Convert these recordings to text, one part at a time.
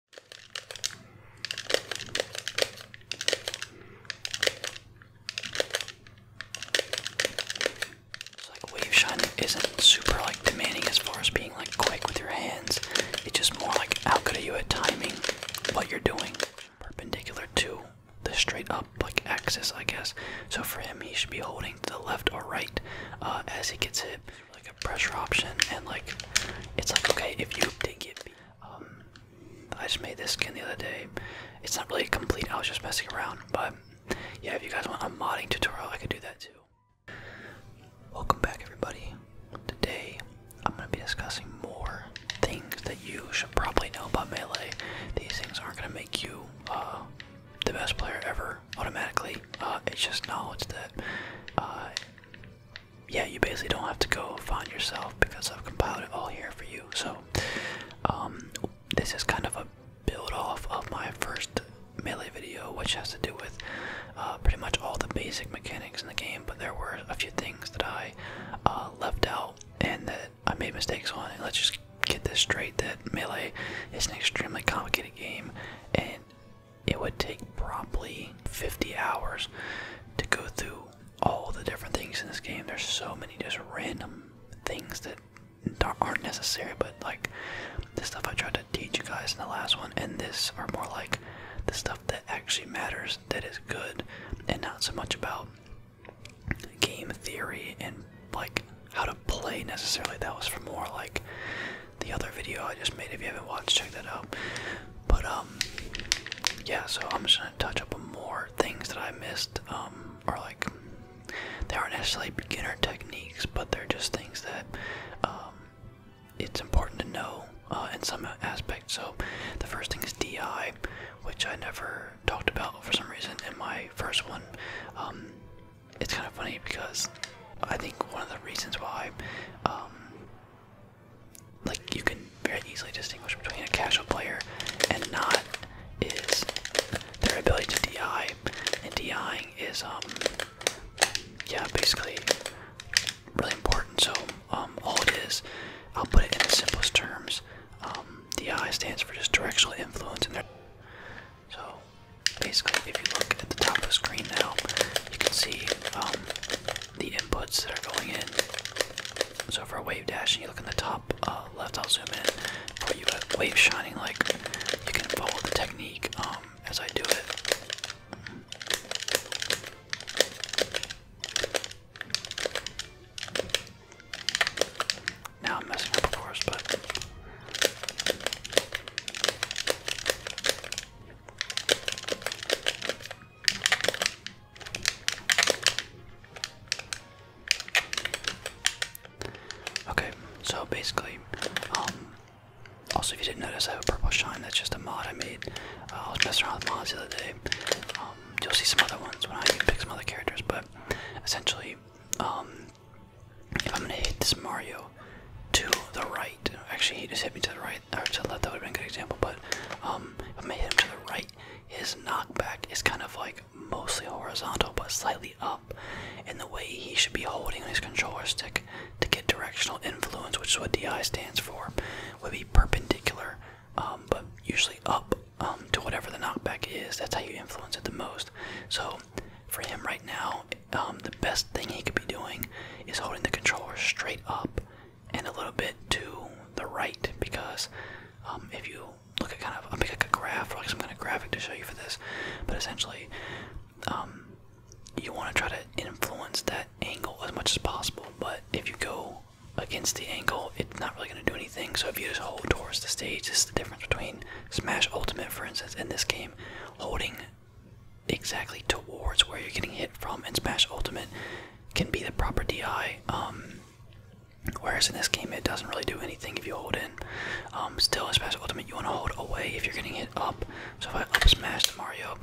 So like wave shot isn't super like demanding as far as being like quick with your hands. It's just more like how good are you at timing what you're doing. Perpendicular to the straight up like axis I guess. So for him he should be holding to the left or right uh, as he gets hit like a pressure option, and like it's like okay if you think it. Um, I just made this skin the other day. It's not really complete. I was just messing around, but yeah, if you guys want a modding tutorial, I could do that too. Welcome back, everybody. Today, I'm gonna be discussing more things that you should probably know about melee. These things aren't gonna make you uh, the best player ever automatically. Uh, it's just knowledge that uh, yeah, you basically don't have to go find yourself because I've compiled it all here for you. So, um, this is kind of a build off of my first melee video, which has to do with uh, pretty much all the basic mechanics in the game, but there were a few things that I uh, left out and that I made mistakes on. And let's just get this straight that melee is an extremely complicated game and it would take probably 50 hours to go through all the different things in this game. There's so many just random things that aren't necessary, but like the stuff I tried to teach you guys in the last one and this are more like the stuff that actually matters, that is good, and not so much about game theory and like how to play necessarily. That was for more like the other video I just made. If you haven't watched, check that out. But um, yeah. So I'm just gonna touch up on more things that I missed. Um, or like they aren't necessarily beginner techniques, but they're just things that um, it's important to know uh, in some aspect. So the first thing is DI, which I never talked about for some reason in my first one. Um, it's kind of funny because I think one of the reasons why um, like you can very easily distinguish between a casual player and not is their ability to DI, and DIing is um yeah basically really important. So um all it is, I'll put it in the simplest terms. Um, DI stands for just directional influence, and in so basically if you look at the top of the screen now, you can see um the inputs that are going in. So for a wave dash, and you look in the top uh, left, I'll zoom in. For you have wave shining, like you can follow the technique um, as I do it. Now I'm messing up, of course, but Okay, so basically, um, also if you didn't notice, I have a purple shine. That's just a mod I made. I was messing around with mods the other day. Um, you'll see some other ones when I pick some other characters, but essentially, um, I'm gonna hit this Mario to the right, actually he just hit me to the right, or to the left, that would have a good example, but um, if I hit him to the right, his knockback is kind of like mostly horizontal but slightly up in the way he should be holding his controller stick to get directional influence, which is what DI stands for, would be perpendicular, um, but usually up um, to whatever the knockback is. That's how you influence it the most. So for him right now, um, the best thing he could be doing is holding the controller straight up and a little bit to the right because um, if you look at kind of I'll make like a graph or like some kind of graphic to show you for this, but essentially um, you want to try to influence that angle as much as possible. But if you go against the angle, it's not really going to do anything. So if you just hold towards the stage, this is the difference between Smash Ultimate, for instance, in this game, holding exactly towards where you're getting hit from, and Smash Ultimate can be the proper DI. Um, whereas in this game, it doesn't really do anything if you hold in. Um, still, in Smash Ultimate, you want to hold away if you're getting hit up. So if I up smash Mario,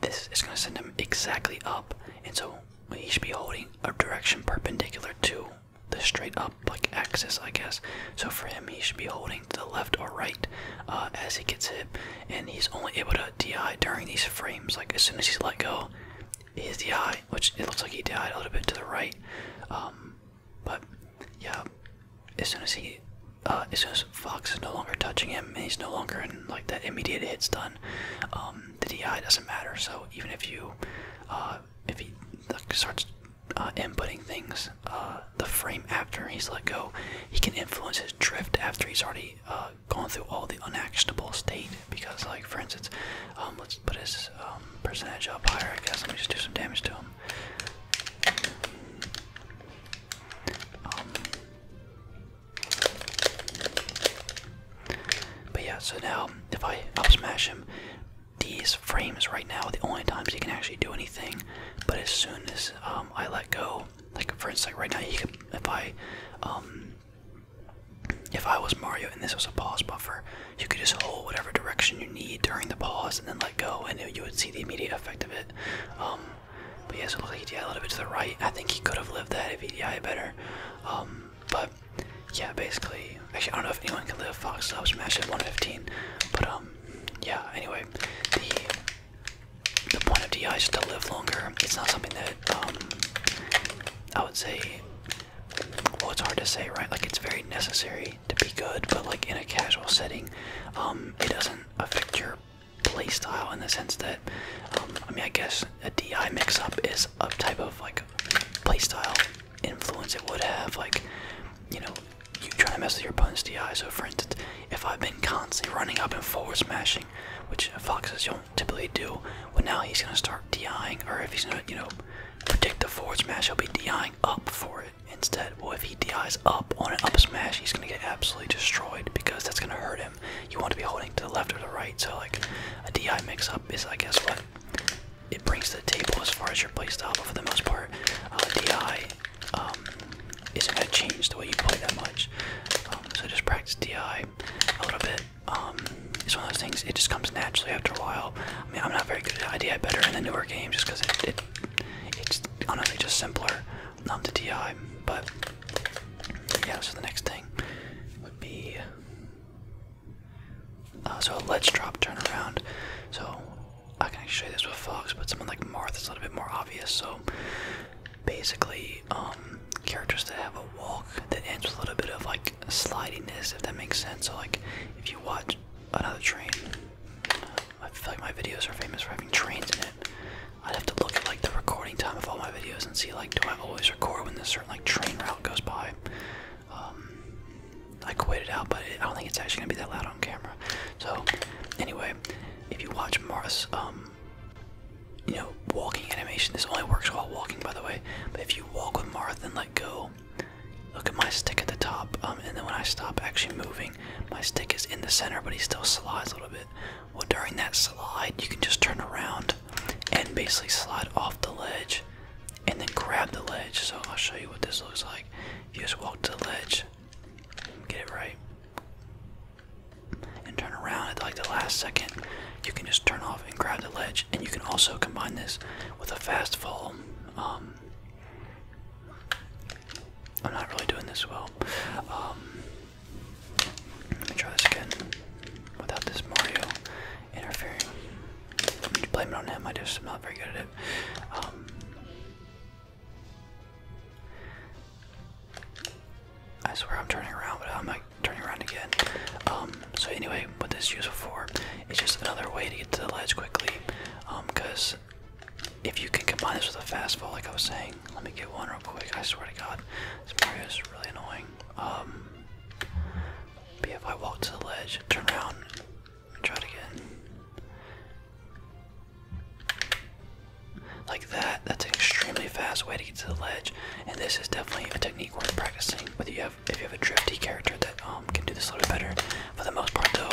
this is going to send him exactly up, and so he should be holding a direction perpendicular to the straight up like axis, I guess. So for him, he should be holding to the left or right uh, as he gets hit and he's only able to DI during these frames. Like as soon as he's let go, his DI, which it looks like he died a little bit to the right. Um, but yeah, as soon as he, uh, as soon as Fox is no longer touching him and he's no longer in like that immediate hit stun, um, the DI doesn't matter. So even if you, uh, if he starts uh, inputting things, the frame after he's let go, he can influence his drift after he's already uh, Going through all the unactionable state because, like, for instance, um, let's put his um, percentage up higher, I guess. Let me just do some damage to him. Um, but yeah, so now if I smash him, these frames right now are the only times he can actually do anything. But as soon as I let go like for instance, like right now, you could, if I, um, if I was Mario and this was a pause buffer, you could just hold whatever direction you need during the pause and then let go, and you would see the immediate effect of it. Um, but yeah, so it looked like he DI a little bit to the right. I think he could have lived that if he died better. Um, but yeah, basically, actually, I don't know if anyone can live Fox Up Smash at 115, but um, yeah. Anyway, the point of DI is to live longer. It's not something that um, I would say. Well, it's hard to say, right? Like it's very necessary to be good, but like in a casual setting, um, it doesn't affect your playstyle in the sense that, um, I mean, I guess a DI mix-up is a type of like playstyle influence it would have, like you know, you trying to mess with your opponent's DI. So, for instance, if I've been constantly running up and forward smashing which foxes don't typically do. But now he's gonna start DIing, or if he's gonna, you know, predict the forward smash, he'll be DIing up for it instead. Well, if he DIs up on an up smash, he's gonna get absolutely destroyed because that's gonna hurt him. You want to be holding to the left or the right, so like a DI mix up is, I guess, what it brings the table as far as your play style, But for the most part, uh, DI um, isn't going to change the way you play that much. Um, so just practice DI a little bit. Um, it's one of those things, it just comes naturally after a while. I mean, I'm not very good at DI better in the newer game, just because it, it, it's honestly just simpler than um, to DI. But yeah, so the next thing would be. Uh, so a let's drop turnaround. So I can actually show you this with Fox, but someone like Marth is a little bit more obvious. So basically um, characters that have a walk that ends with a little bit of like slidiness, if that makes sense. So like, if you watch another train, I feel like my videos are famous for having trains in it. I'd have to look at like the recording time of all my videos and see like, do I always record when this certain like train route goes by? Um, I quit it out, but I don't think it's actually gonna be that loud on camera. So, anyway, if you watch Mars, um, you know, walking animation. This only works while walking, by the way. But if you walk with Marth and let go, look at my stick at the top. Um, and then when I stop actually moving, my stick is in the center, but he still slides a little bit. Well, during that slide, you can just turn around and basically slide off the ledge and then grab the ledge. So I'll show you what this looks like. If You just walk to the ledge, get it right and turn around at like the last second, you can just turn off and grab the ledge. And you can also combine this with a fast fall. Um, I'm not really doing this well. Um, let me try this again without this Mario interfering. I'm blame it on him. I just am not very good at it. Um, I swear I'm turning around, but I'm like turning around again. Um, so anyway, what this is useful for It's just another way to get to the ledge quickly. Um, cause if you can combine this with a fast fall, like I was saying, let me get one real quick. I swear to God, this Mario is really annoying. Um, if I walk to the ledge, turn around, try it again. Like that, that's an extremely fast way to get to the ledge, and this is definitely a technique worth practicing. Whether you have, if you have a drifty character that um, can do this a little bit better. For the most part, though,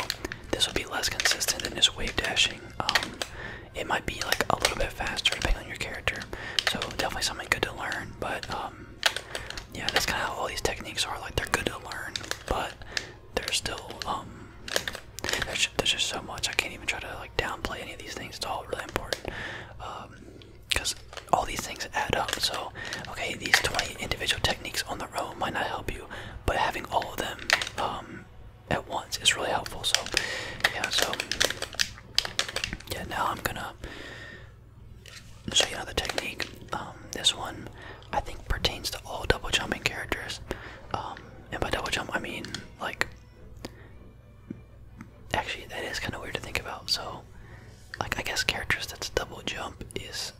this will be less consistent than just wave dashing. Um, it might be like a little bit faster depending on your character. So definitely something good to learn. But um, yeah, that's kind of how all these techniques are. Like they're good to learn, but they're still there's, just so much. I can't even try to like downplay any of these things. It's all really important because um, all these things add up. So, okay, these 20 individual techniques on their own might not help you, but having all of them um, at once is really helpful. So, yeah. So, yeah. Now I'm gonna show you another technique. Um, this one I think pertains to all double jumping characters. and by double jump, I mean like Actually, that is kind of weird to think about. So, like, I guess characters that's double jump is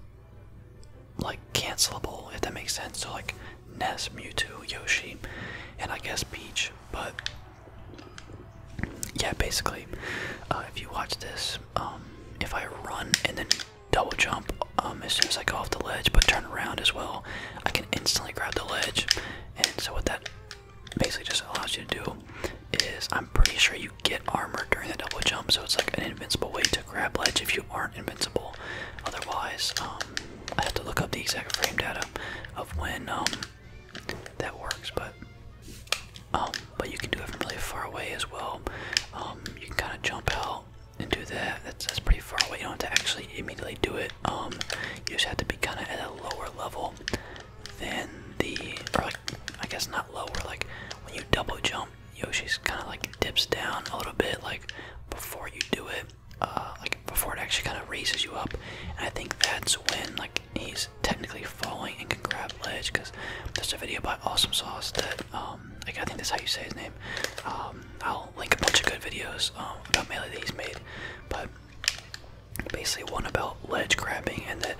like cancelable, if that makes sense. So, like, Ness, Mewtwo, Yoshi, and I guess Peach. But yeah, basically, uh, if you watch this, um, if I run and then double jump um, as soon as I go off the ledge, but turn around as well, I can instantly grab the ledge. And so what that basically just allows you to do is I'm pretty sure you get armor during the double jump, so it's like an invincible way to grab ledge if you aren't invincible. Otherwise, um, I have to look up the exact frame data of when um, that works, but um, but you can do it from really far away as well. you can kind of jump out and do that. That's, that's far away. You don't have to actually immediately do it. Um, you just have to be kind of at a lower level than the, or like, I guess not lower. Like when you double jump, Yoshi's kind of like dips down a little bit, like before you do it, uh, like before it actually kind of raises you up. I think that's when like he's technically falling and can grab ledge. Cause there's a video by Awesome Sauce that, um, like I think that's how you say his name. Um, I'll i link a bunch of good videos um, about melee that he's made, but basically one about ledge grabbing and that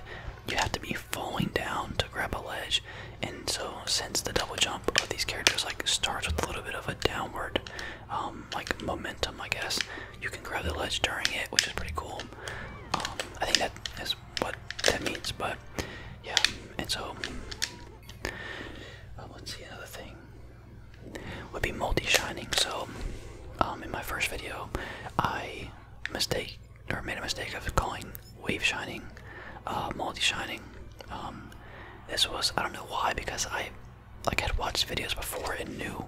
you have to be falling down to grab a ledge. And so since the double jump of these characters like starts with a little bit of a downward um, like momentum, I guess you can grab the ledge during it, which is pretty cool. Um, I think that is what that means, but yeah. And so uh, let's see another thing would be multi-shining. So, um, in my first video, I mistake or made a mistake of calling wave shining uh, multi-shining. Um, this was I don't know why because I like had watched videos before and knew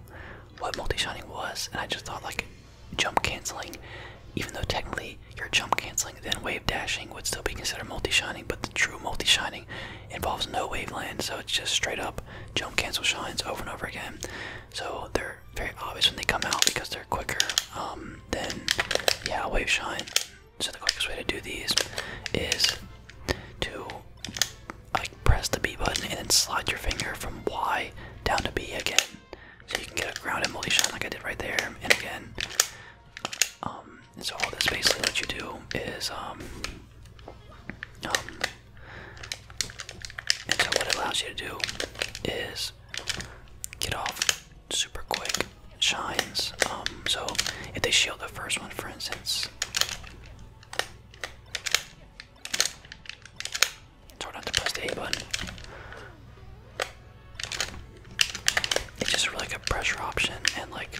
what multi-shining was, and I just thought like jump canceling, even though technically your jump canceling, then wave dashing would still be considered multi-shining, but the true multi-shining involves no wavelength, so it's just straight up jump cancel shines over and over again. So they're very obvious when they come out because they're quicker um, than yeah wave shine. So the quickest way to do these is to like press the B button and then slide your finger from Y down to B again, so you can get a ground shine like I did right there, and again. Um, so all this basically what you do is um um and so what it allows you to do is get off super quick. It shines. Um so if they shield the first one for instance it's hard not to press the A button. It's just like a pressure option and like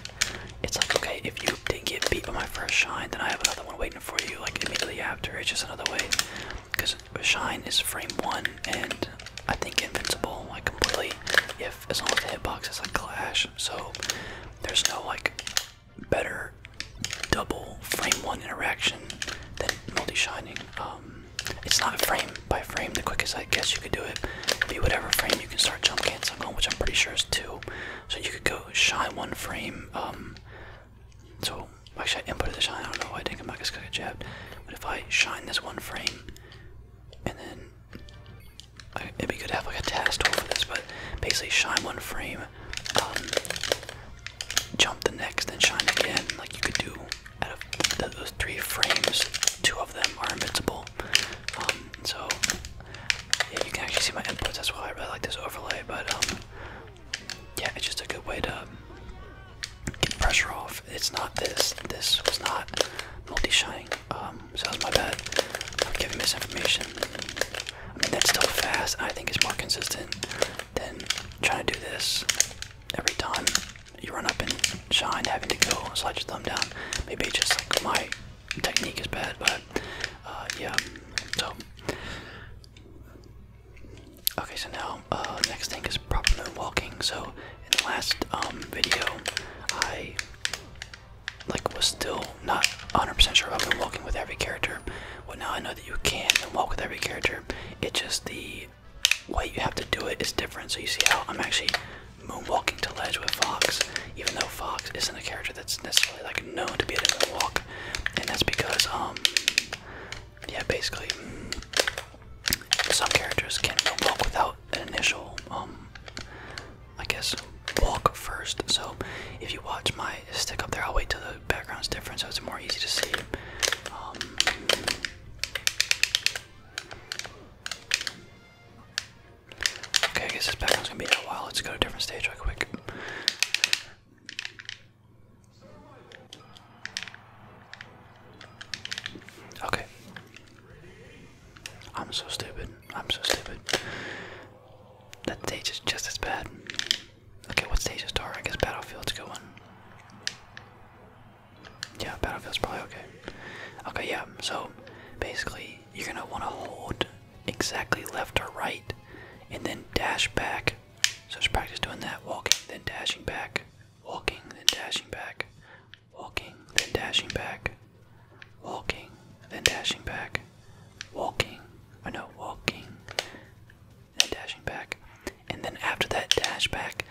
it's like, okay, if you didn't get beat by my first shine, then I have another one waiting for you, like immediately after. It's just another way. Because shine is frame one, and I think invincible, like completely, if as long as the hitbox is like clash. So there's no like better double frame one interaction than multi shining. Um, it's not frame by frame the quickest I guess you could do it. Be whatever frame you can start jump canceling on, which I'm pretty sure is two. So you could go shy one frame. Um, so actually, I inputted the shine. I don't know why I didn't come back because I got jabbed. But if I shine this one frame, and then I, it'd be good to have like a task tool for this. But basically, shine one frame, um, jump the next, then shine again. Like you could do out of th those three frames, two of them are invincible. Um, so yeah, you can actually see my inputs. That's why I really like this overlay. But um, yeah, it's just a good way to um, get pressure off. It's not this. This was not multi-shining. Um, so that's my bad. I'm giving misinformation. I mean, that's still fast. I think it's more consistent than trying to do this every time you run up and shine, having to go slide your thumb down. Maybe just like my technique is bad, but uh, yeah. So okay, so now uh, next thing is proper walking. So in the last um, video, I like was still not 100% sure of walking with every character. Well, now I know that you can walk with every character. It's just the way you have to do it is different. So you see how I'm actually moonwalking to ledge with Fox, even though Fox isn't a character that's necessary like known to be able to walk, and that's because um yeah basically some characters can not walk without an initial um I guess walk first. So if you watch my stick up there, I'll wait till the background's different so it's more easy to see. Um, Okay, I guess this background's gonna be in a while. Let's go to a different stage real quick. Okay. I'm so stupid. I'm so stupid. That stage is just as bad. Okay, what stage is dark? I guess Battlefield's a good one. Yeah, Battlefield's probably okay. Okay, yeah, so basically, you're gonna wanna hold exactly left or right, and then dash back. So just practice doing that walking, then dashing back, walking, then dashing back, walking, then dashing back, walking, then dashing back, walking, or no, walking, then dashing back. And then after that dash back,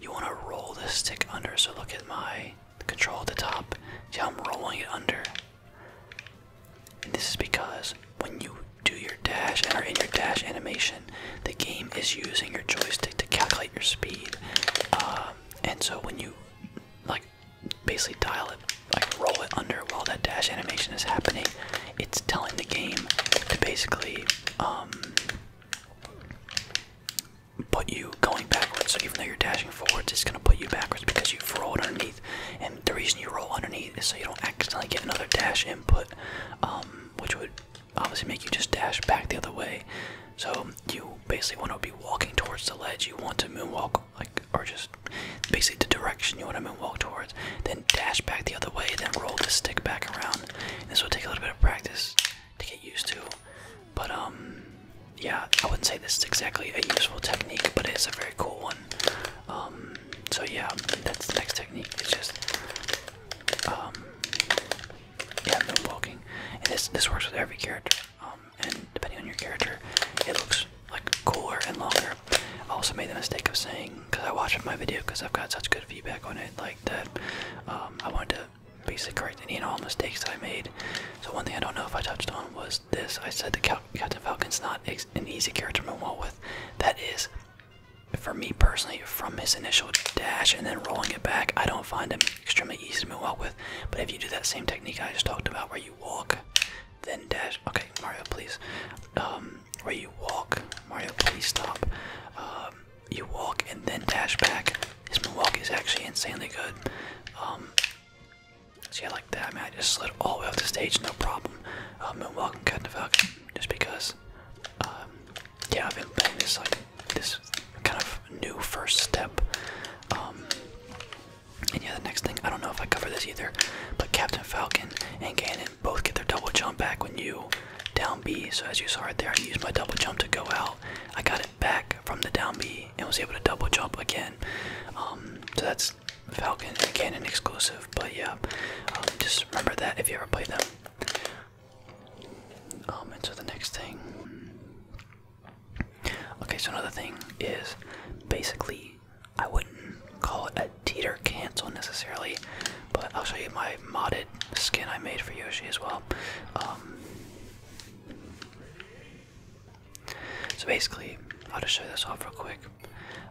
you want to roll the stick under. So look at my control at the top. See how I'm rolling it under? And this is because when you do your dash and are in your dash animation, the game is using your joystick to calculate your speed. Um, and so when you like basically dial it, like roll it under while that dash animation is happening, it's telling the game to basically um, put you going backwards. So even though you're dashing forwards, it's gonna put you backwards because you've rolled underneath and the reason you roll underneath is so you don't accidentally get another dash input, um, which would obviously make you just dash back the other way. So you basically want to be walking towards the ledge. You want to moonwalk, like, or just basically the direction you want to moonwalk towards. Then dash back the other way. Then roll the stick back around. this will take a little bit of practice to get used to, but um, yeah, I wouldn't say this is exactly a useful technique, but it's a very cool one. Um, so yeah, that's the next technique. It's just um, yeah, no walking. this this works with every character. Um, and depending on your character, it looks like cooler and longer. I also made the mistake of saying, because I watched my video, because I've got such good feedback on it, like that. Um, I wanted to basically correct any and all mistakes that I made. So one thing I don't know if I touched on was this. I said the Cal Captain Falcon's not an easy character to move roll with. That is, for me personally, from his initial dash and then rolling it back, I don't find him extremely easy to move out with. But if you do that same technique I just talked about, where you walk, then dash. Okay, Mario, please. Um, where you walk, Mario, please stop. Um, you walk and then dash back. His walk is actually insanely good. Um, See, I like that, man. I just slid all the way up the stage, no problem. Uh, moonwalk and cutting the falcon, just because. Um, yeah, I've been playing this like this kind of new first step. Um, and yeah, the next thing I don't know if I cover this either, but Captain Falcon and Ganon both get their double jump back when you down B. So as you saw right there, I used my double jump to go out. I got it back from the down B and was able to double jump again. Um, so that's Falcon and Cannon exclusive, but yeah, um, just remember that if you ever play them. Um, and the next thing. Okay, so another thing is basically I wouldn't call it a teeter cancel necessarily, but I'll show you my modded skin I made for Yoshi as well. Um, so basically, I'll just show this off real quick.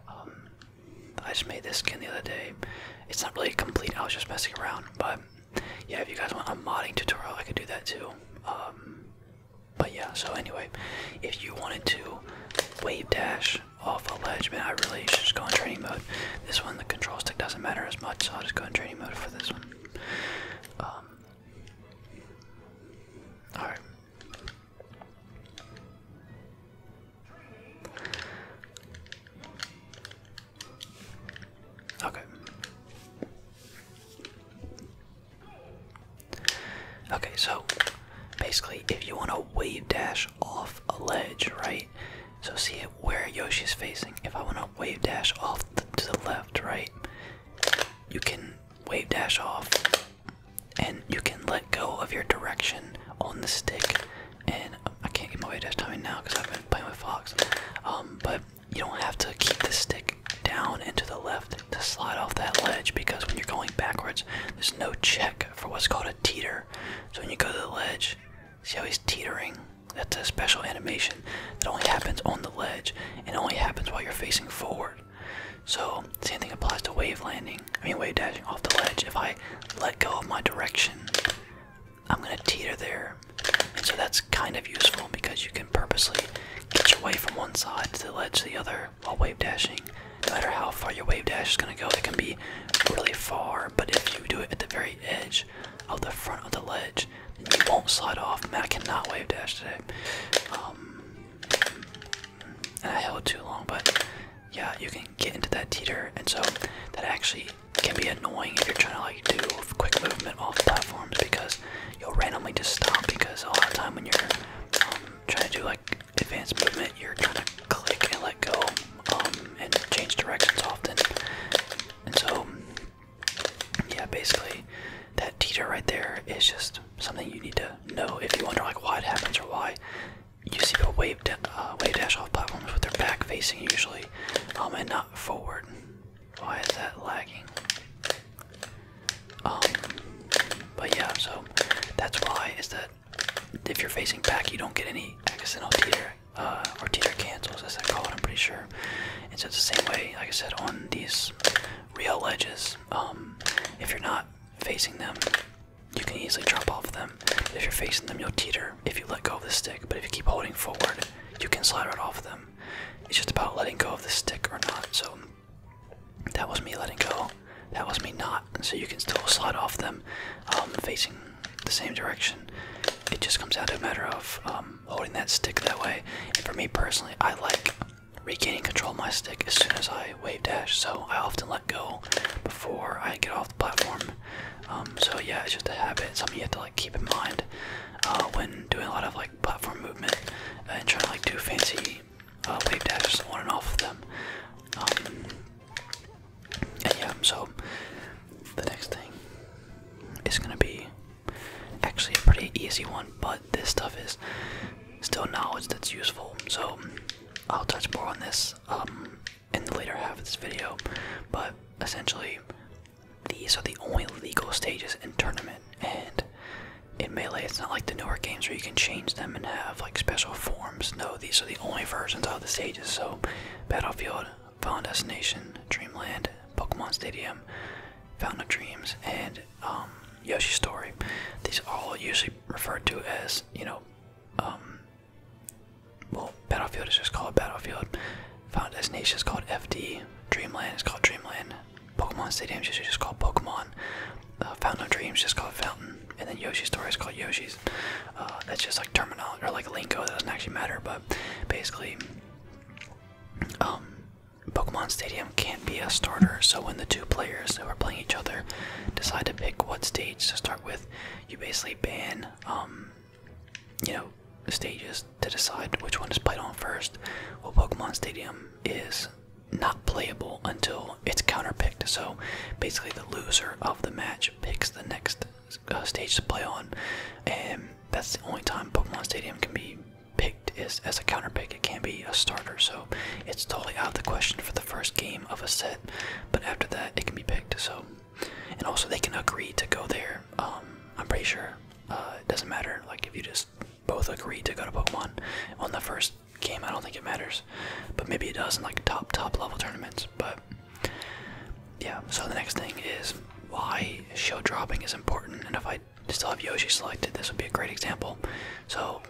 Um, I just made this skin the other day. It's not really complete. I was just messing around, but yeah, if you guys want a modding tutorial, I could do that too. Um, but yeah, so anyway, if you wanted to wave dash off a ledge, man, I really should just go in training mode. This one, the control stick doesn't matter as much, so I'll just go in training mode for this one. Um, Alright, Okay. Okay, so basically, if you want to wave dash off a ledge, right? So see it where Yoshi's facing. If I want to wave dash off to the left, right? You can wave dash off, and you can let go of your direction on the stick. And I can't get my wave dash timing now because I've been playing with Fox. Um, but you don't have to keep the stick down into the left to slide off that ledge because when you're going backwards, there's no check for what's called a teeter. So when you go to the ledge, see how he's teetering? That's a special animation that only happens on the ledge and only happens while you're facing forward. So same thing applies to wave landing. I mean wave dashing off the ledge. If I let go of my direction, I'm gonna teeter there. And so that's kind of useful because you can purposely get your way from one side to the ledge to the other while wave dashing. No matter how far your wave dash is gonna go, it can be really far, but if you do it at the very edge of the front of the ledge, then you won't slide off. Matt cannot wave dash today. Um, I held too long, but yeah, you can get into that teeter, and so that actually can be annoying if you're trying to like do quick movement off platforms because you'll randomly just stop because a lot of time when you're um, trying to do like advanced movement, you're trying to click and let go um, and change directions often, and so yeah, basically that teeter right there is just something you need to know if you wonder like why it happens or why you see people wave, da uh, wave dash off platforms with their back facing usually um, and not forward. Why is that lagging? Um, but yeah, so that's why is that if you're facing back, you don't get any accidental teeter uh, or teeter cancels, as they call it. I'm pretty sure. And so it's the same way, like I said, on these real ledges. Um, if you're not facing them, you can easily drop off them. if you're facing them, you'll teeter if you let go of the stick. But if you keep holding forward, you can slide right off them. It's just about letting go of the stick or not. So that was me letting go. That was me not. So you can still slide off them, um, facing the same direction. It just comes down to a matter of um, holding that stick that way. And for me personally, I like regaining control of my stick as soon as I wave dash, so I often let go before I get off the platform. Um, so yeah, it's just a habit, something you have to like keep in mind uh, when doing a lot of like platform movement and trying to like do fancy uh, wave dashes on and off of them. Um, and yeah, so the next thing is gonna be actually a pretty easy one, but this stuff is still knowledge that's useful. So I'll touch more on this um, in the later half of this video. But essentially, these are the only legal stages in tournament, and in Melee, it's not like the newer games where you can change them and have like special forms. No, these are the only versions of the stages. So Battlefield, Final Destination, Dreamland, Pokemon Stadium, Fountain of Dreams, and um, Yoshi's Story, these are all usually referred to as, you know, um, well, Battlefield is just called Battlefield. Found as Destination is called FD. Dreamland is called Dreamland. Pokemon Stadium is just called Pokemon. Uh, Fountain of Dreams just called Fountain. And then Yoshi's Story is called Yoshi's. Uh, that's just like terminal or like lingo, that doesn't actually matter, but basically, um, Pokemon Stadium can't be a starter, so when the two players who are playing each other decide to pick what stage to start with, you basically ban, um, you know, stages to decide which one to play on first. Well, Pokemon Stadium is not playable until it's counterpicked, so basically the loser of the match picks the next uh, stage to play on, and that's the only time Pokemon Stadium can be picked is as a counter pick. It can be a starter, so it's totally out of the question for the first game of a set. But after that, it can be picked. So, and also they can agree to go there. Um, I'm pretty sure uh, it doesn't matter. Like if you just both agree to go to Pokemon on the first game, I don't think it matters. But maybe it does in like top top level tournaments. But yeah. So the next thing is why show dropping is important, and if I I still have Yoshi selected. This would be a great example. So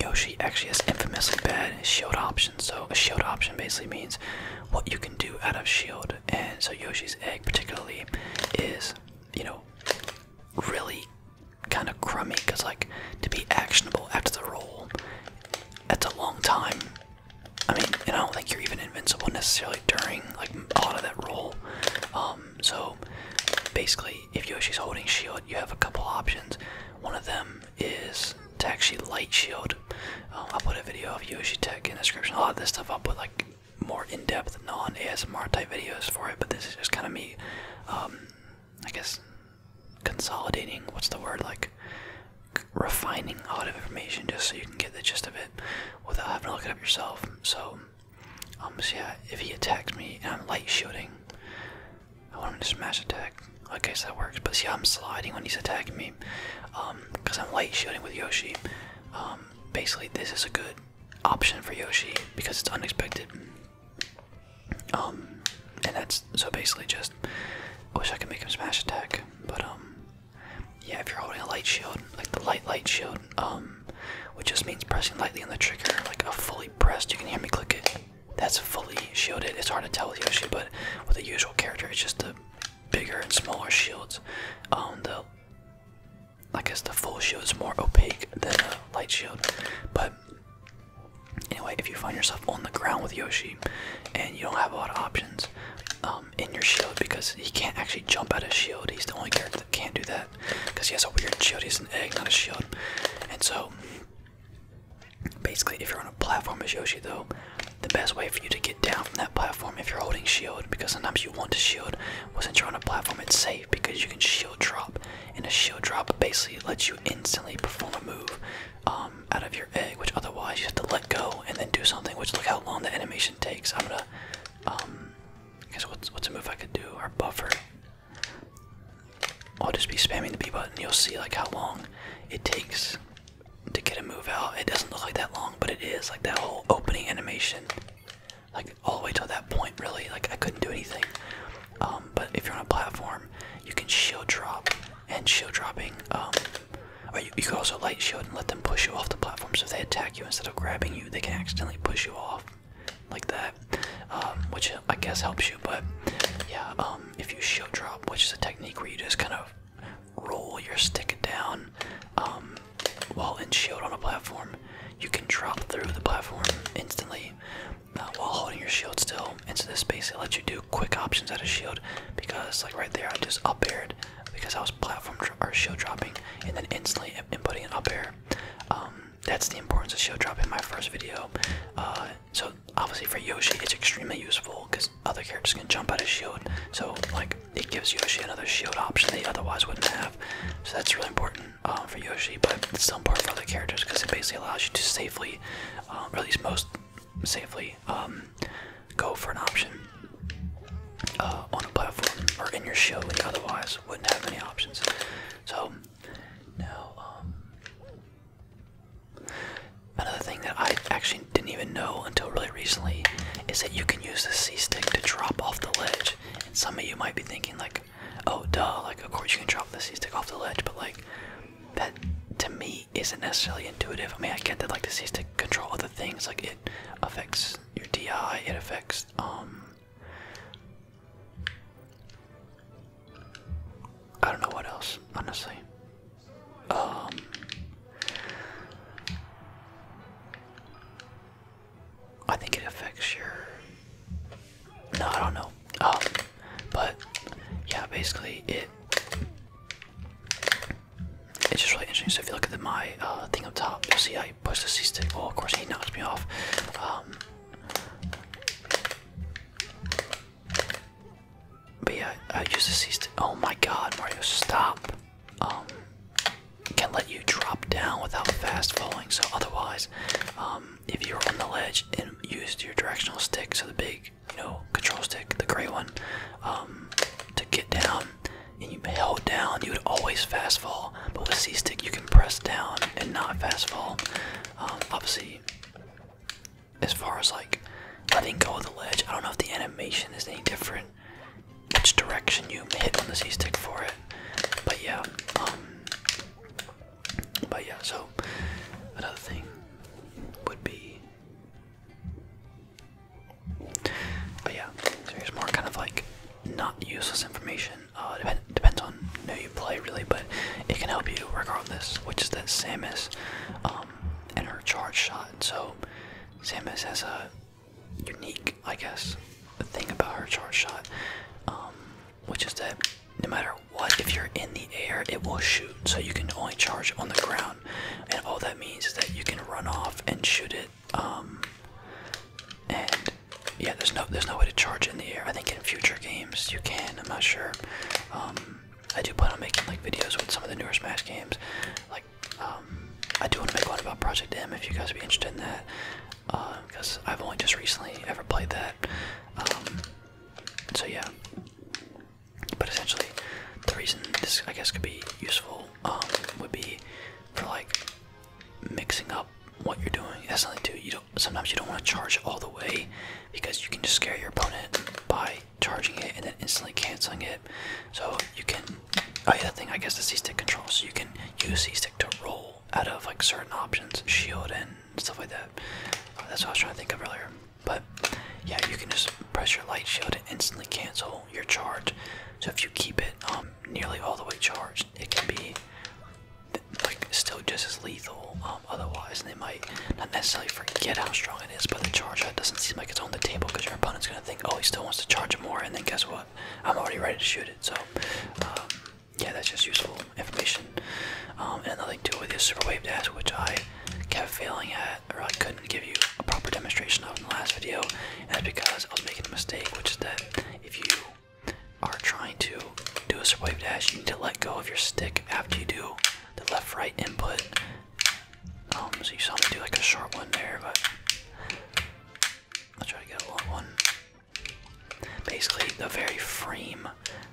Yoshi actually has infamously bad shield options. So a shield option basically means what you can do out of shield. And so Yoshi's egg particularly is, you know, really kind of crummy because like to be actionable after the roll, that's a long time. I mean, and I don't think you're even invincible necessarily during like a lot of that roll. Um, so basically, if Yoshi's holding shield, you have a couple options. One of them is to actually light shield. Um, I'll put a video of Yoshi Tech in the description. A lot of this stuff I'll put like more in-depth, non-ASMR type videos for it, but this is just kind of me, um, I guess, consolidating, what's the word, like, refining a lot of information just so you can get the gist of it without having to look it up yourself. So um, yeah, if he attacks me and I'm light shooting, I want him to smash attack. Okay, so that works. But see, I'm sliding when he's attacking me, um, because I'm light shooting with Yoshi. Um, basically, this is a good option for Yoshi because it's unexpected. Um, and that's so basically just. I wish I could make him smash attack, but um, yeah, if you're holding a light shield, like the light light shield, um, which just means pressing lightly on the trigger, like a fully pressed. You can hear me click it. That's fully shielded. It's hard to tell with Yoshi, but with the usual character, it's just the bigger and smaller shields. Um, the I guess the full shield is more opaque than the light shield, but anyway, if you find yourself on the ground with Yoshi and you don't have a lot of options um, in your shield because he can't actually jump out of shield, he's the only character that can't do that because he has a weird shield. He has an egg, not a shield. And so, basically, if you're on a platform as Yoshi, though, the best way for you to get down from that platform, if you're holding shield, because sometimes you want to shield, wasn't you on a platform, it's safe because you can shield drop, and a shield drop basically lets you instantly perform a move um, out of your egg, which otherwise you have to let go and then do something. Which look how long the animation takes. I'm gonna um, I guess what's what's a move I could do? Or buffer. I'll just be spamming the B button. You'll see like how long it takes to get a move out. It doesn't look like that long, but it is like that whole opening animation, like all the way till that point. Really, like I couldn't do anything. Um, but if you're on a platform, you can shield drop and shield dropping. Um, or you, could also light shield and let them push you off the platform. So if they attack you instead of grabbing you, they can accidentally push you off like that, um, which I guess helps you. But yeah, um, if you shield drop, which is a technique where you just kind of roll your stick down um, while in shield on a platform, you can drop through the platform instantly uh, while holding your shield still into this space. It lets you do quick options out of shield because, like right there, I just up aired because I was platform or shield dropping, and then instantly inputting an up air that's the importance of shield dropping in my first video. Uh, so obviously for Yoshi, it's extremely useful because other characters can jump out of shield. So like it gives Yoshi another shield option that he otherwise wouldn't have. So that's really important uh, for Yoshi, but it's still important for other characters because it basically allows you to safely, um, or at least most safely, um, go for an option uh, on a platform or in your shield when otherwise wouldn't have many options. So now, um, another thing that I actually didn't even know until really recently is that you can use the C stick to drop off the ledge. And some of you might be thinking like, oh duh, like of course you can drop the C stick off the ledge, but like that to me isn't necessarily intuitive. I mean, I get that like the C stick controls other things, like it affects your DI, it affects um I don't know what else, honestly. Um, I think it affects your. No, I don't know. Um, but yeah, basically it. It's just really interesting. So if you look at the, my uh, thing up top, you'll see I Push the C stick. Oh, of course, he knocks me off. Um, but yeah, I used the C stick. Oh my god, Mario, stop. Um, Can't let you drop down without fast falling. So, otherwise, um, if you were on the ledge and used your directional stick, so the big, you know, control stick, the gray one, to get down, and you held down, you would always fast fall but with C stick you can press down and not fast fall. Um, obviously, as far as like letting go of the ledge, I don't know if the animation is any different, which direction you hit on the C stick for it. But yeah, um, but yeah. So another thing would be, but yeah. So here's more kind of like not useless information. Uh, depends on who you play, really, but it can help you regardless, which is that Samus um, and her charge shot. So Samus has a unique, I guess, thing about her charge shot, um, which is that no matter what, if you're in the air, it will shoot. So you can only charge on the ground, and all that means is that you can run off and shoot it um, and yeah, there's no there's no way to charge in the air. I think in future games you can. I'm not sure. Um, I do plan on making like videos with some of the newer Smash games. Like um, I do want to make one about Project M if you guys would be interested in that. Because uh, I've only just recently ever played that. Um, so yeah. But essentially, the reason this I guess could be useful would be for like mixing up what you're doing. That's something too. You don't. Sometimes you don't want to charge all the way because you can just scare your opponent by charging it and then instantly canceling it. So you can. Oh yeah, that thing. I guess the C stick control. So you can use C stick to roll out of like certain options, shield and stuff like that. Uh, that's what I was trying to think of earlier. But yeah, you can just press your light shield and instantly cancel your charge. So if you keep it um, nearly all the way charged, it can be like still just as lethal um, otherwise, and they might not necessarily forget how strong it is, but the charge shot doesn't seem like it's on the table because your opponent's gonna think, oh, he still wants to charge it more, and then guess what? I'm already ready to shoot it. So, um, yeah, that's just useful information. Um, and another thing too with the super wave dash, which I kept failing at, or I couldn't give you a proper demonstration of in the last video, is because I was making a mistake, which is that if you are trying to do a survive dash, you need to let go of your stick after you do the left right input. Um, so you saw me do like a short one there, but I'll try to get a long one. Basically, the very frame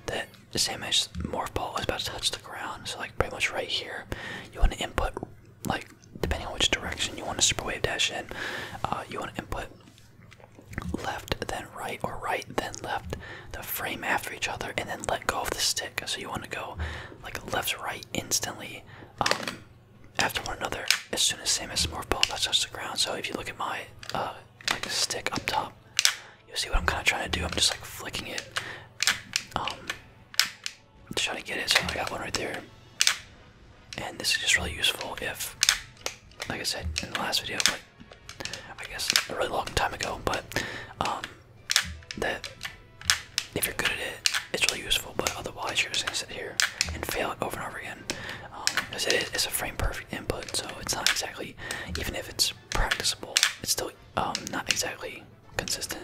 that the Samus morph ball is about to touch the ground, so like pretty much right here, you want to input like depending on which direction you want to super wave dash in, uh, you want to input left then right or right then left the frame after each other and then let go of the stick so you want to go like left right instantly um, after one another as soon as same as smurf ball touches the ground so if you look at my uh, stick up top you see what i'm kind of trying to do i'm just like flicking it um, trying to get it so i got one right there and this is just really useful if, like I said in the last video, but I guess a really long time ago, but um, that if you're good at it, it's really useful, but otherwise you're just gonna sit here and fail it over and over again. Because um, it is it's a frame perfect input, so it's not exactly, even if it's practicable, it's still um, not exactly consistent.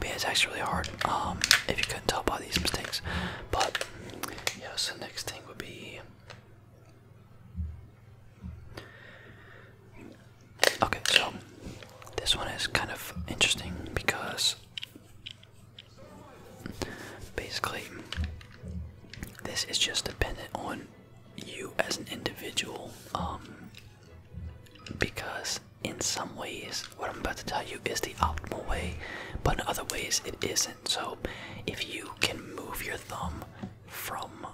But it's actually really hard, um, if you couldn't tell by these mistakes. But yeah, so next thing would be Okay, so this one is kind of interesting because Basically, this is just dependent on you as an individual, um, because in some ways, what I'm about to tell you is the optimal way, but in other ways, it isn't. So, if you can move your thumb from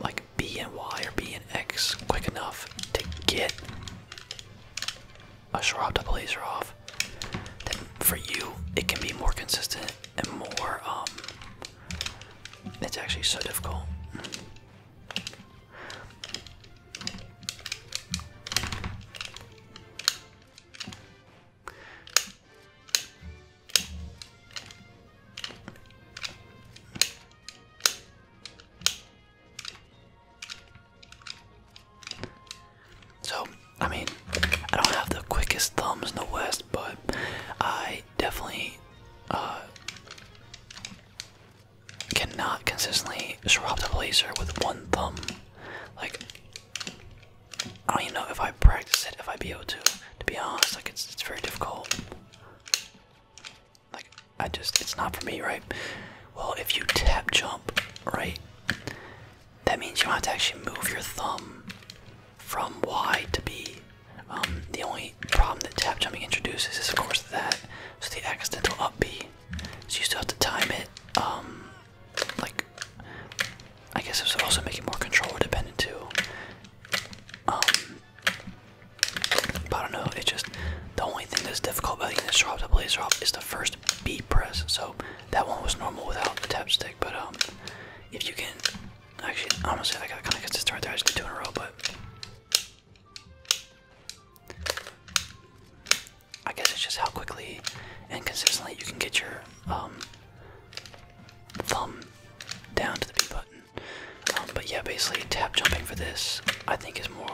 like B and Y or B and X quick enough to get a shrub to laser off, then for you it can be more consistent and more um it's actually so difficult. So, I mean, I don't have the quickest thumbs in the West, but I definitely uh, cannot consistently swap the blazer with one thumb. Like, I don't even know if I practice it, if I'd be able to. To be honest, like, it's, it's very difficult. Like, I just, it's not for me, right? Well, if you tap jump, right, that means you have to actually move your thumb from Y to B. Um, the only problem that tap jumping introduces is, of course, that. So the accidental up B. So you still have to time it. Um, like, I guess it would also making more controller dependent too. Um, but I don't know. It just the only thing that's difficult about using this drop to blaze drop is the first B press. So that one was normal without the tap stick, but um, if you can, actually, honestly, I got kind of consistent right there. I just did two in a row, but I guess it's just how quickly and consistently you can get your um, thumb down to the B button. Um, but yeah, basically tap jumping for this I think is more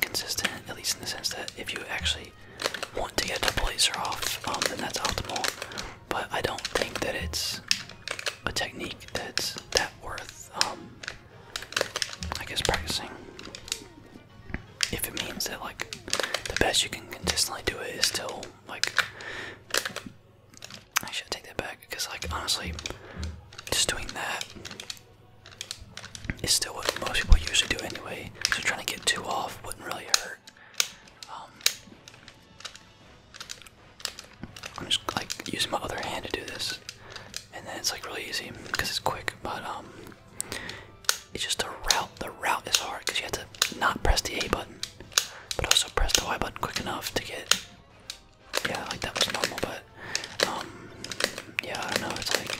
consistent, at least in the sense that if you actually want to get the blazer off, um, then that's optimal. But I don't think that it's a technique that's that worth, um, I guess, practicing. If it means that, like, the best you can consistently do it is still, like, I should take that back because, like, honestly, just doing that it's still what most people usually do anyway, so trying to get two off wouldn't really hurt. Um, I'm just like using my other hand to do this, and then it's like really easy because it's quick. But um, it's just the route. The route is hard because you have to not press the A button, but also press the Y button quick enough to get. Yeah, like that was normal, but um, yeah, I it's like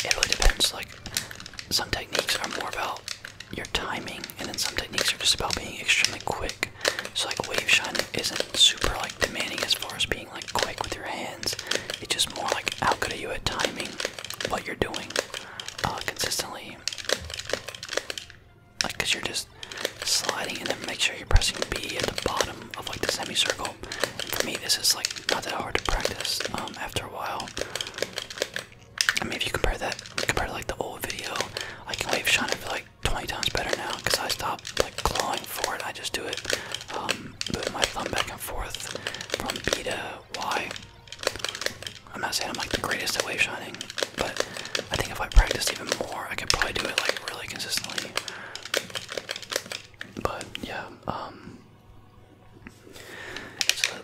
it really depends, like some techniques are more about your timing and then some techniques are just about being extremely quick. So like wave shining isn't super like demanding as far as being like quick with your hands. It's just more like how good are you at timing what you're doing uh, consistently. Like, cause you're just sliding, and then make sure you're pressing B at the bottom of like the semicircle. for me, this is like not that hard to practice. Um, after a while, I mean, if you compare that compare to like the old video, I can wave shine it for like 20 times better now, cause I stopped like clawing for it. I just do it, um, moving my thumb back and forth from B to Y. I'm not saying I'm like the greatest at wave shining, but I think if I practiced even more, I could probably do it like really consistently. But yeah, um, so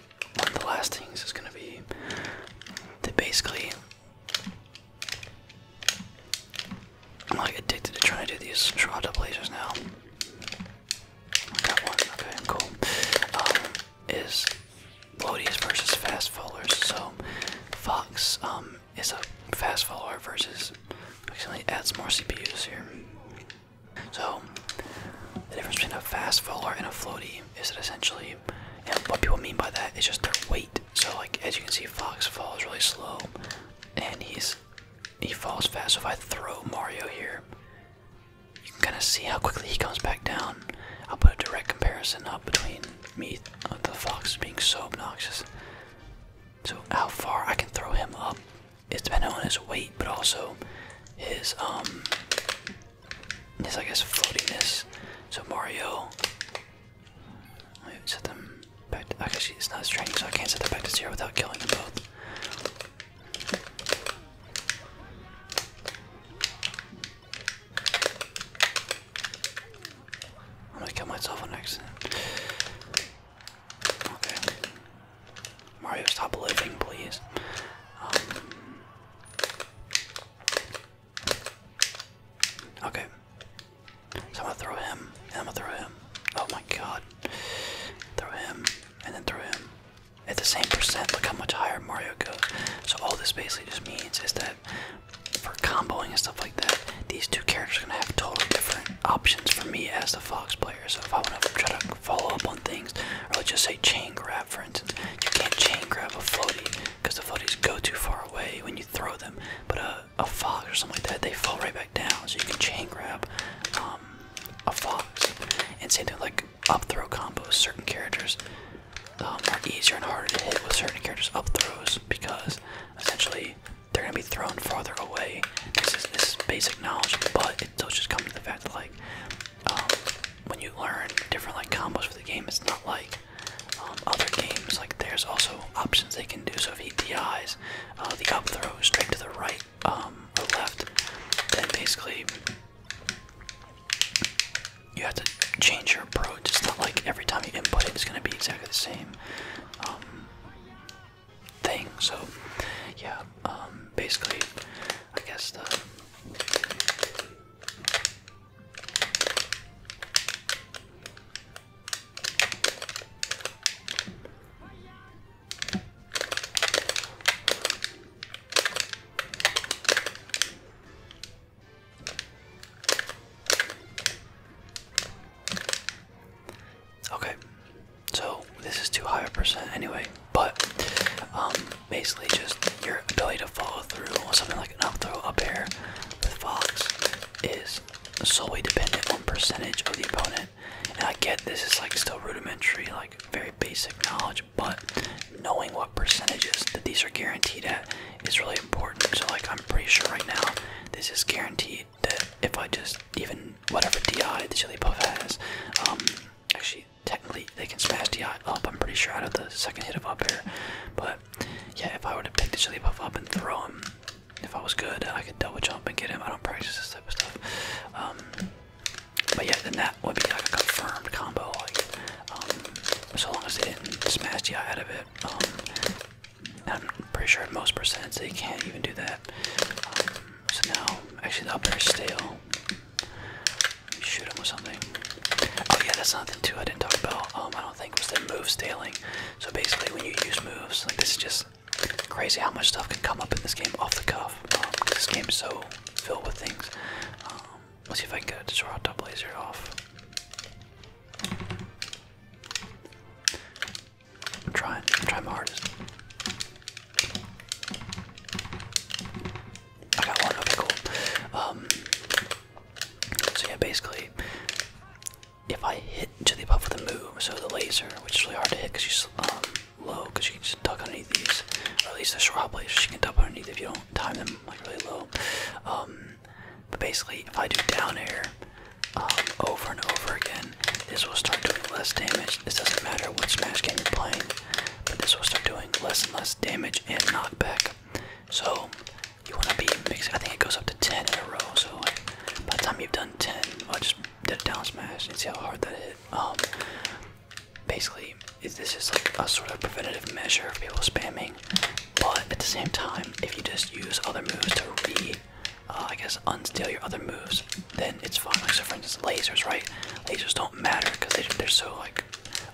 the last things is gonna be that basically I'm like addicted to trying to do these shroud up lasers now. Got one, okay, cool. Um, is Lodius versus fast followers. So Fox um is a fast follower versus actually adds more CPUs here. So the difference between a fast follower and a floaty is that essentially, what people mean by that is just their weight. So like as you can see, Fox falls really slow, and he's he falls fast. So if I throw Mario here, you can kind of see how quickly he comes back down. I'll put a direct comparison up between me uh, the fox being so obnoxious. So how far I can throw him up It's depending on his weight, but also his um his I guess floatiness. So Mario, let me set them back. To, actually, it's not his so I can't set them back to zero without killing them both. I'm gonna kill myself on accident. Okay. Mario, stop living, please. Um, okay. So I'm gonna throw him, and I'm gonna throw him. Oh my god. Throw him, and then throw him. At the same percent, look how much higher Mario goes. So all this basically just means is that for comboing and stuff like that, these two characters are gonna have totally different options for me as the Fox player. So if I wanna try to follow up on things, or just say chain grab for instance, you can't chain grab a floaty because the floaties go too far away when you throw them. But a, fox or something like that, they fall right back down. So you can chain grab um, a fox. And same thing like up throw combos, certain characters um, are easier and harder to hit with certain characters' up throws because essentially they're gonna be thrown farther away. This is this basic knowledge, but it does just come to the fact that like um, when you learn different like combos for the game, it's not like um, other games. Like there's also options they can do. So if he DIs uh, the up throw straight to the right um, or left, then basically you have to change your approach. It's not like every time you input it's going to be exactly the same um, thing. So, yeah, um, basically, I guess the. Okay, so this is too high a percent anyway, but um, basically just your ability to follow through on something like an up throw up air with Fox is solely dependent on percentage of the opponent. And I get this is like still rudimentary, like very basic knowledge, but knowing what percentages that these are guaranteed at is really important. So like I'm pretty sure right now this is guaranteed that if I just even whatever DI the chili puff has, um, actually technically they can smash DI up, I'm pretty sure out of the second hit of up here. But yeah, if I were to pick the chili puff up and throw him, if I was good, I could double jump and get him. I don't practice this type of stuff. Um, but yeah, then that would be like a confirmed combo, like um, so long as they didn't smash DI out of it. I'm pretty sure most percent they can't even do that. so now, actually, the up air is stale. Shoot them with something. Oh yeah, that's something too. I didn't talk about. Um, I don't think was the move staling. So basically, when you use moves, like this is just crazy how much stuff can come up in this game off the cuff. Um, this game's so filled with things. Um, let's see if I can get a out auto blazer off. I'm trying. my hardest. I got one. Okay, cool. Um, so yeah, basically, if I hit to the above with a move, so the laser, which is really hard to hit because she's um, low, because you can just duck underneath these, or at least the short hop lasers, you can duck underneath if you don't time them like really low. Um, but basically, if I do down air um, over and over again, this will start doing less damage. This doesn't matter what Smash game you're playing, but this will start doing less and less damage and knockback. So you want to be mixing. I think it goes up to 10 in a row. So by the time you've done 10, I I'll just do a down smash and see how hard that hit. Um, basically, is this is like a sort of preventative measure of people spamming but at the same time, if you just use other moves to re, uh, I guess, unsteal your other moves, then it's fine. Like, so for instance, lasers, right? Lasers don't matter because they, are so, like,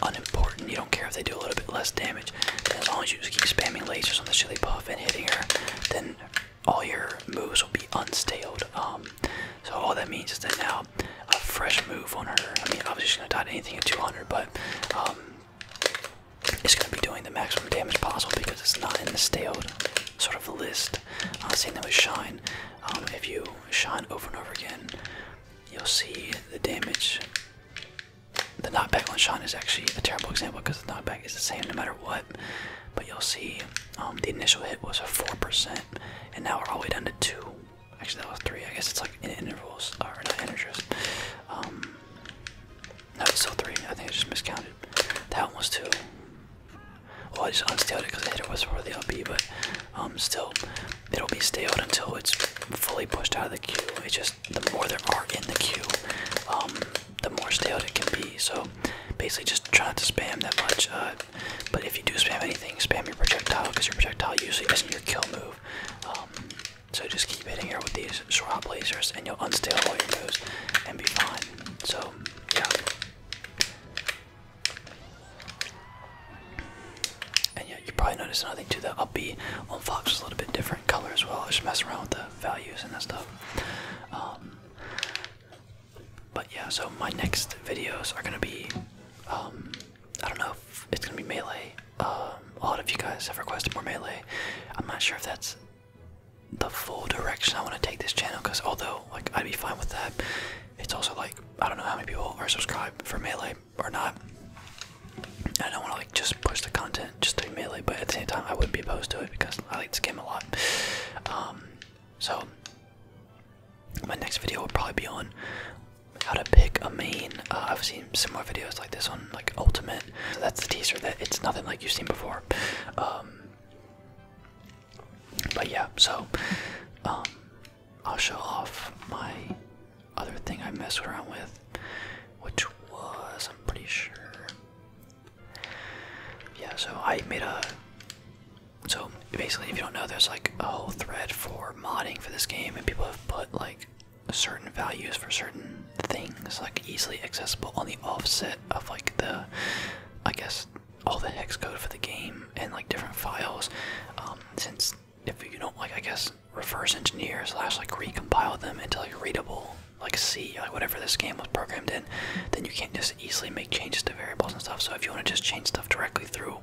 unimportant. You don't care if they do a little bit less damage. as long as you just keep spamming lasers on the chili puff and hitting her, then all your moves will be unstaled. Um, so all that means is that now a fresh move on her. I mean, I was just gonna die anything at 200, but um, it's going to be doing the maximum damage possible because it's not in the stale sort of list. Seeing same thing with shine. Um, if you shine over and over again, you'll see the damage. The knockback on shine is actually a terrible example because the knockback is the same no matter what. But you'll see um, the initial hit was a four percent, and now we're all the way down to two. Actually, that was three. I guess it's like in intervals or not intervals. Um, no, it's still three. I think I just miscounted. That one was two. Well, I just unsteeled it because I hit it with the LP. but um, still, it'll be staled until it's fully pushed out of the queue. It's just the more there are in the queue, um, the more staled it can be. So basically, just try not to spam that much. Uh, but if you do spam anything, spam your projectile because your projectile usually isn't your kill move. Um, so just keep hitting here with these shrub lasers and you'll unstale all your moves and be fine. So, yeah. And yeah, you probably noticed nothing to the that up B on Fox is a little bit different color as well. I just mess around with the values and that stuff. Um, but yeah, so my next videos are gonna be, um, I don't know if it's gonna be melee um, a lot of you guys have requested more melee. I'm not sure if that's the full direction I want to take this channel because although like I'd be fine with that, it's also like I don't know how many people are subscribed for melee or not. I don't want to like just push the content just to melee, but at the same time I wouldn't be opposed to it because I like this game a lot. Um, so my next video will probably be on how to pick a main. Uh, I've seen see similar videos like this on like Ultimate. that's the teaser that it's nothing like you've seen before. Um, but yeah, so um, I'll show off my other thing I messed around with, which was I'm pretty sure. Yeah, so I made a. So basically, if you don't know, there's like a whole thread for modding for this game, and people have put like certain values for certain things, like easily accessible on the offset of like the, I guess, all the hex code for the game and like different files. Um, since if you don't like, I guess, reverse engineers slash like recompile them into like readable, like C, like whatever this game was programmed in, then you can't just easily make changes to variables and stuff. So if you want to just change stuff directly through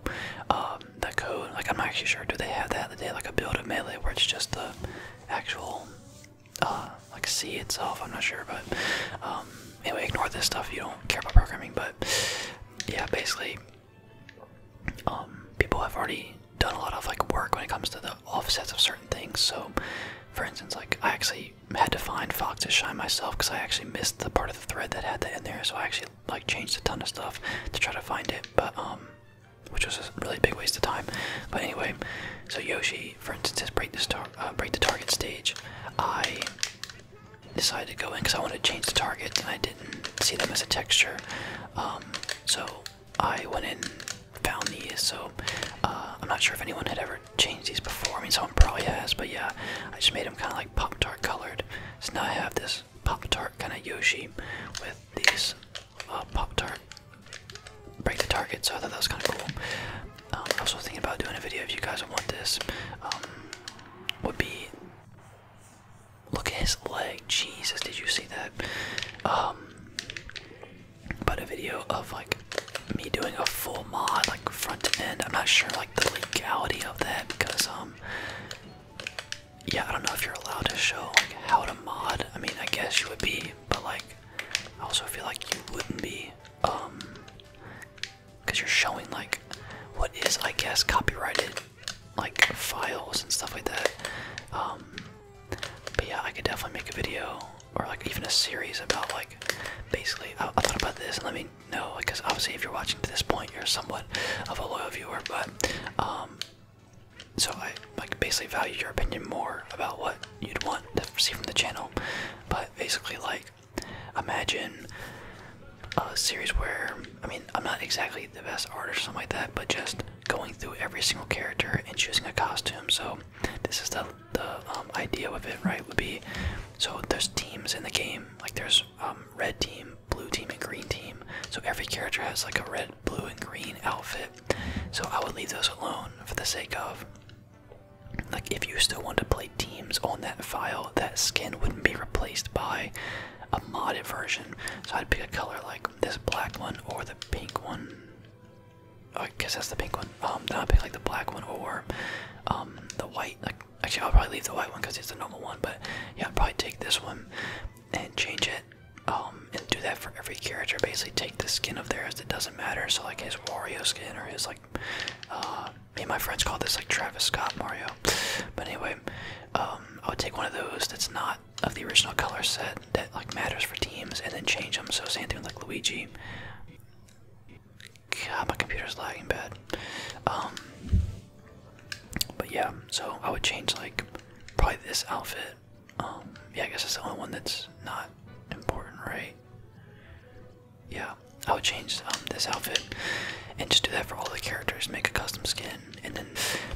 um, the code, like I'm not actually sure, do they have that? Do they like a build of melee where it's just the actual uh, like C itself. I'm not sure, but um, anyway, ignore this stuff. You don't care about programming, but yeah, basically, um, people have already done a lot of like work when it comes to the offsets of certain things. So, for instance, like I actually had to find Fox to shine myself because I actually missed the part of the thread that had that in there. So I actually like changed a ton of stuff to try to find it, but um, which was a really big waste of time. But anyway, so Yoshi, for instance, has break uh, the target stage. I decided to go in because I wanted to change the target, and I didn't see them as a texture. Um, so I went in, found these. So uh, I'm not sure if anyone had ever changed these before. I mean, someone probably has, but yeah, I just made them kind of like Pop Tart colored. So now I have this Pop Tart kind of Yoshi with these uh, Pop Tart break the target, so I thought that was kind of cool. Um, I was also thinking about doing a video if you guys want this. Um, would be look at his leg. Jesus, did you see that? Um, but a video of like me doing a full mod, like front to end. I'm not sure like the legality of that because um, yeah, I don't know if you're allowed to show how to mod. I mean, I guess you would be, but like, I also feel like you wouldn't be, um, because you're showing like what is, I guess, copyrighted like files and stuff like that. Um, but yeah, I could definitely make a video or like even a series about like basically. I, thought about this, let me know because obviously, if you're watching to this point, you're somewhat of a loyal viewer, but um. So I like basically value your opinion more about what you'd want to see from the channel. But basically, like imagine a series where I mean I'm not exactly the best artist or something like that, but just going through every single character and choosing a costume. So this is the the um, idea of it, right? Would be so there's teams in the game. Like there's um, red team, blue team, and green team. So every character has like a red blue and green outfit. So I would leave those alone for the sake of like if you still want to play teams on that file, that skin wouldn't be replaced by a modded version. So I'd pick a color like this black one or the pink one. I guess that's the pink one. Um, then i pick like the black one or um the white. Like actually, I'll probably leave the white one because it's the normal one. But yeah, I'd probably take this one and change it um, and do that for every character. Basically, take the skin of theirs. It doesn't matter. So like his Wario skin or his like. Uh, me and my friends call this like Travis Scott Mario. But anyway, um, I would take one of those that's not of the original color set that like matters for teams, and then change them. So same thing with like Luigi. God, my computer's lagging bad. Um, but yeah, so I would change like probably this outfit um, yeah, I guess that's the only one that's not important, right? Yeah, I would change um, this outfit and just do that for all the characters, make a custom skin, and then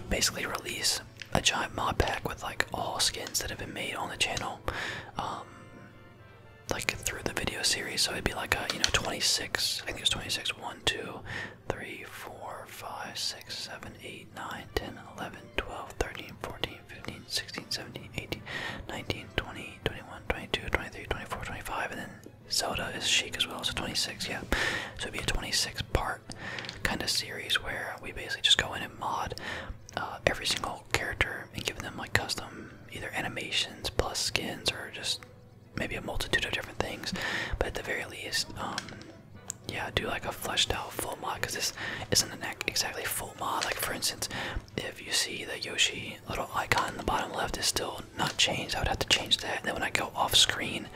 basically release a giant mod pack with like all skins that have been made on the channel, um, like through the video series. So it'd be like, a, you know, 26, I think it was 26, 1, 2, 3, 4, 5, 6, 7, 8, 9, 10, 11, 12, 13, 14, 15, 16, 17, 18, 19, 20, 21, 22, 23, 24, 25, and then Zelda is chic as well, so 26, yeah. So it'd be a 26 part kind of series where we basically just go in and mod uh, every single character and give them like custom either animations plus skins or just maybe a multitude of different things. But at the very least, um, yeah, do like a fleshed out full mod because this isn't the neck exactly full mod. Like for instance, if you see the Yoshi little icon in the bottom left is still not changed, I would have to change that. then when I go off screen,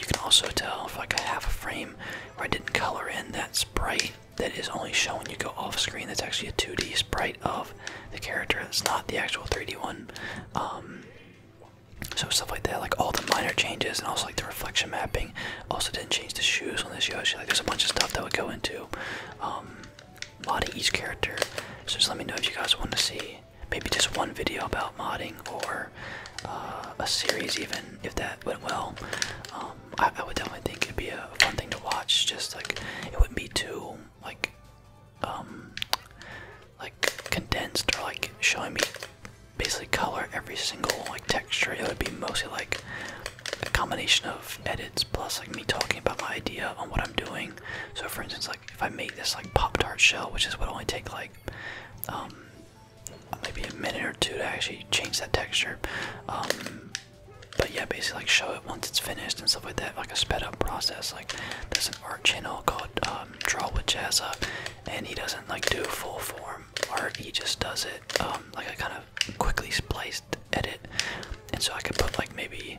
you can also tell for like a half a frame where I didn't color in that sprite that is only showing you go off screen. That's actually a 2D sprite of the character. It's not the actual 3D one. Um, so stuff like that, like all the minor changes and also like the reflection mapping, also didn't change the shoes on this Yoshi. Like there's a bunch of stuff that would go into um, each character. So just let me know if you guys want to see maybe just one video about modding or uh, a series even if that went well. Um, I, I would definitely think it'd be a fun thing to watch. Just like it wouldn't be too like um like condensed or like showing me basically color every single like texture. It would be mostly like a combination of edits plus like me talking about my idea on what I'm doing. So for instance, like if I make this like pop tart shell, which is would only take like um, maybe a minute or two to actually change that texture. Um, but yeah, basically like show it once it's finished and stuff like that, like a sped up process. Like there's an art channel called um, Draw with Jazz up, and he doesn't like do full form form, or he just does it um, like I kind of quickly spliced edit, and so I could put like maybe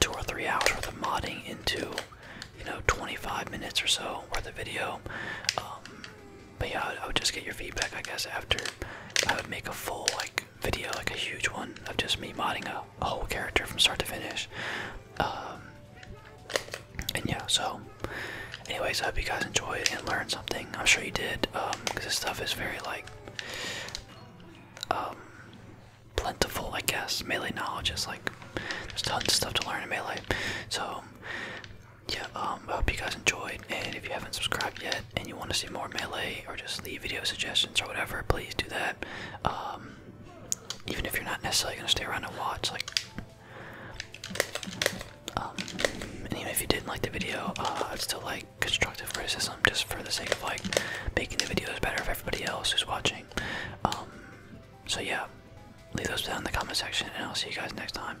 two or three hours worth of modding into you know 25 minutes or so worth of video. Um, but yeah, I would, just get your feedback, I guess. After I would make a full like video, like a huge one of just me modding a, whole character from start to finish. Um, and yeah, so anyways, I hope you guys enjoyed and learned something. I'm sure you did, because um, this stuff is very like um plentiful, I guess. Melee knowledge is like there's tons of stuff to learn in melee. So yeah, um, I hope you guys enjoyed, and if you haven't subscribed yet and you want to see more melee or just leave video suggestions or whatever, please do that. Um, even if you're not necessarily gonna stay around and watch, like um, and even if you didn't like the video, uh, I'd still like constructive criticism just for the sake of like making the videos better for everybody else who's watching. Um, so yeah, leave those down in the comment section, and I'll see you guys next time.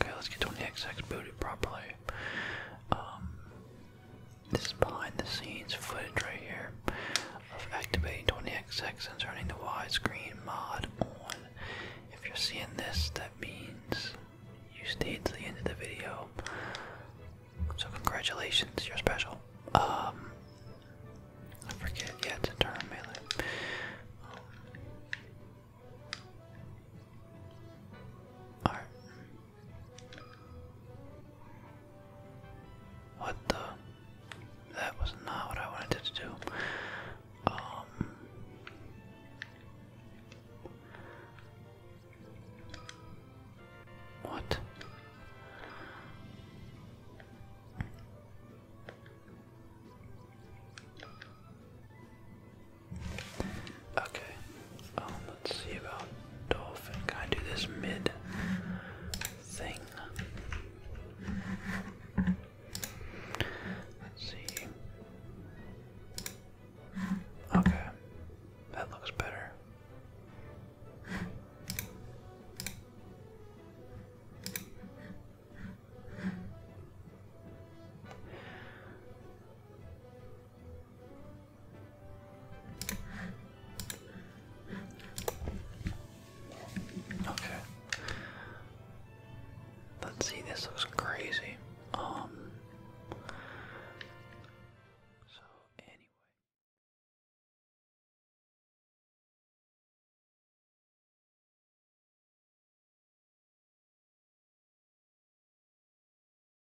Okay, let's get 20xx booted properly. Um, this is behind the scenes footage right here of activating 20 X and turning the widescreen mod on. If you're seeing this, that means you stayed to the end of the video. So congratulations, you're special. Um, I forget, yeah, it's internal melee. Um, Alright. What the? That was not what I wanted to do. Um, what? Okay. Um, let's see about dolphin. Can I do this mid thing? Let's see. Okay. That looks better. Okay. Let's see, this looks crazy. Um so anyway.